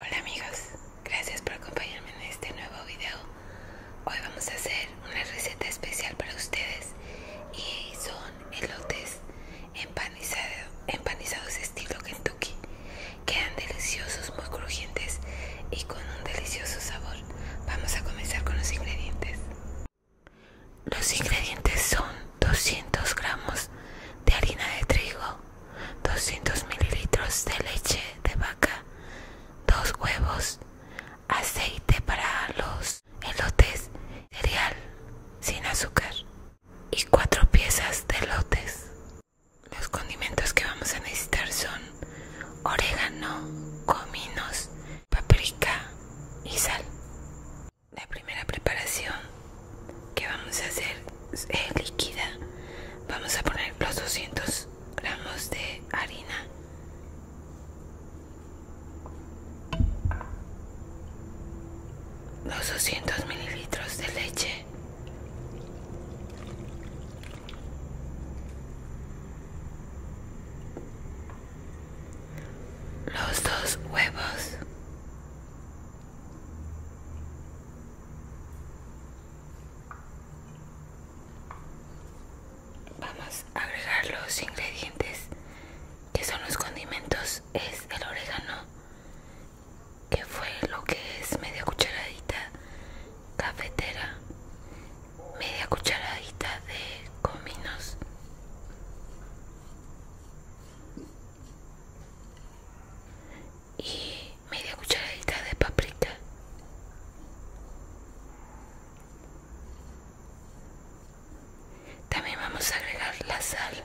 Hola amigos, gracias por acompañarme en este nuevo video. Hoy vamos a hacer una receta especial para ustedes y son elotes empanizado, empanizados estilo Kentucky. Quedan deliciosos, muy crujientes y con un delicioso sabor. Vamos a comenzar con los ingredientes. Los ingredientes son 200 gramos de harina de trigo, 200 mililitros de leche de vaca, 2 huevos, aceite para los elotes, cereal sin azúcar y cuatro piezas de elotes. Los condimentos que vamos a necesitar son orégano, cominos, paprika y sal. La primera preparación que vamos a hacer eh, líquida vamos a poner los 200 gramos de harina los 200 mililitros de leche los dos huevos Vamos a agregar los ingredientes que son los condimentos. Es el orégano, que fue lo que es media cucharadita cafetera, media cucharadita de cominos y media cucharadita de paprika también vamos a agregar la sal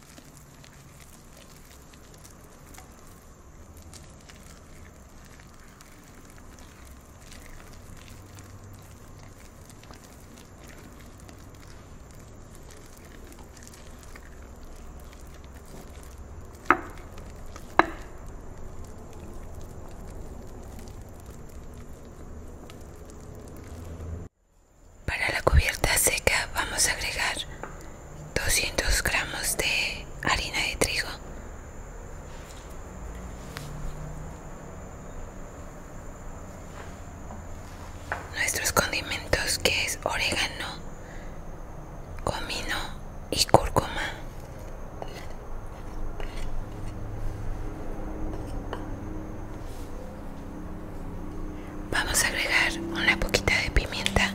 Para la cubierta seca vamos a agregar 200 gramos de harina de trigo nuestros condimentos que es orégano comino y cúrcuma Vamos a agregar una poquita de pimienta.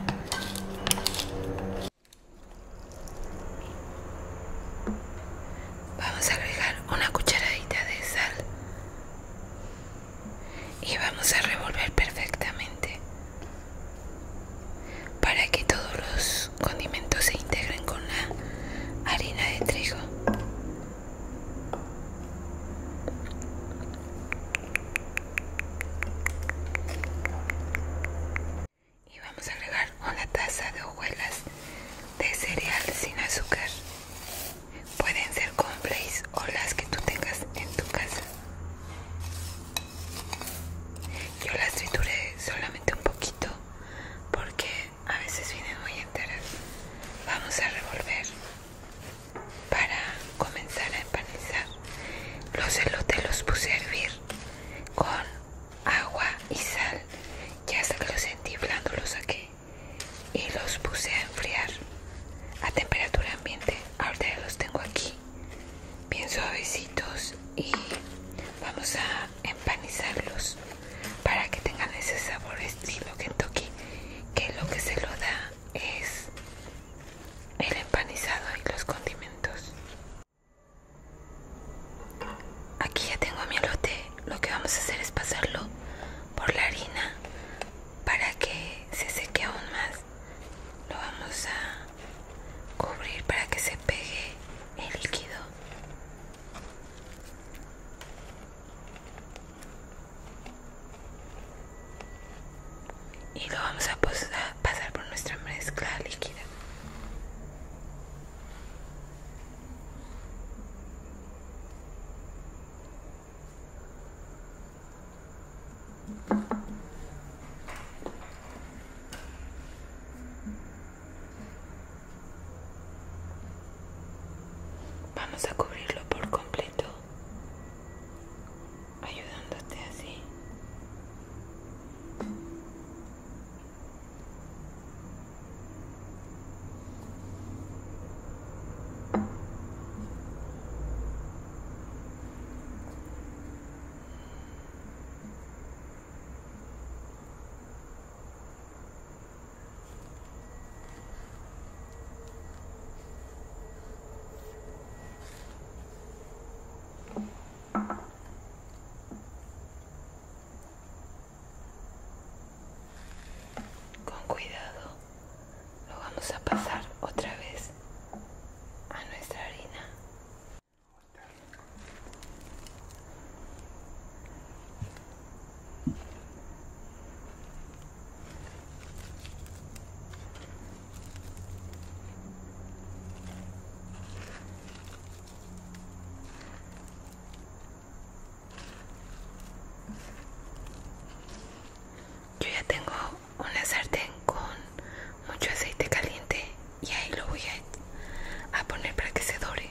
Vamos a agregar una cucharadita de sal. Y vamos a revolver perfectamente para que todos los condimentos se integren con la harina de trigo. Y vamos a agregar una taza de hojuelas de cereal sin azúcar. Pueden ser blaze o las que tú tengas en tu casa. Yo las trituré solamente un poquito porque a veces vienen muy enteras. Vamos a revolver para comenzar a empanizar los elotes los puse a hervir con agua y sal ya hasta que los sentí blando los saqué y los puse a enfriar a temperatura ambiente ahora ya los tengo aquí bien suavecitos y vamos a empanizarlos para que tengan ese sabor estilo Kentucky que es lo que se lo da es el empanizado y los condimentos. Aquí ya tengo mi lote. Lo que vamos a hacer es pasarlo por la harina para que se seque aún más. Lo vamos a cubrir para que se pegue el líquido y lo vamos a pasar por nuestra mezcla líquida Vamos a cubrirlo por completo, ayudándote así. Con cuidado lo vamos a pasar otra vez a nuestra harina. Yo ya tengo una sartén con mucho aceite caliente y ahí lo voy a, poner para que se dore.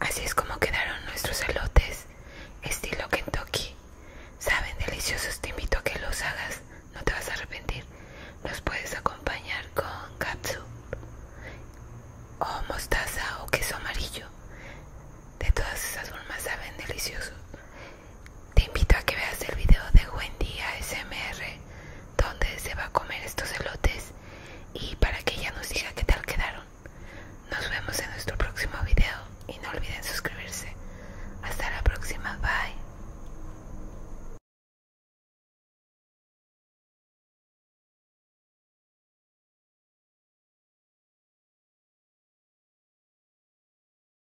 Así es como quedaron nuestros elotes, estilo Kentucky. Saben deliciosos, te invito a que los hagas, no te vas a arrepentir. Los puedes acompañar con katsu o mostaza o queso amarillo. De todas esas formas saben deliciosos. Te invito a que veas el video de Wendy ASMR dónde se va a comer estos elotes y para que ella nos diga qué tal quedaron. Nos vemos en nuestro próximo video y no olviden suscribirse. Hasta la próxima, bye.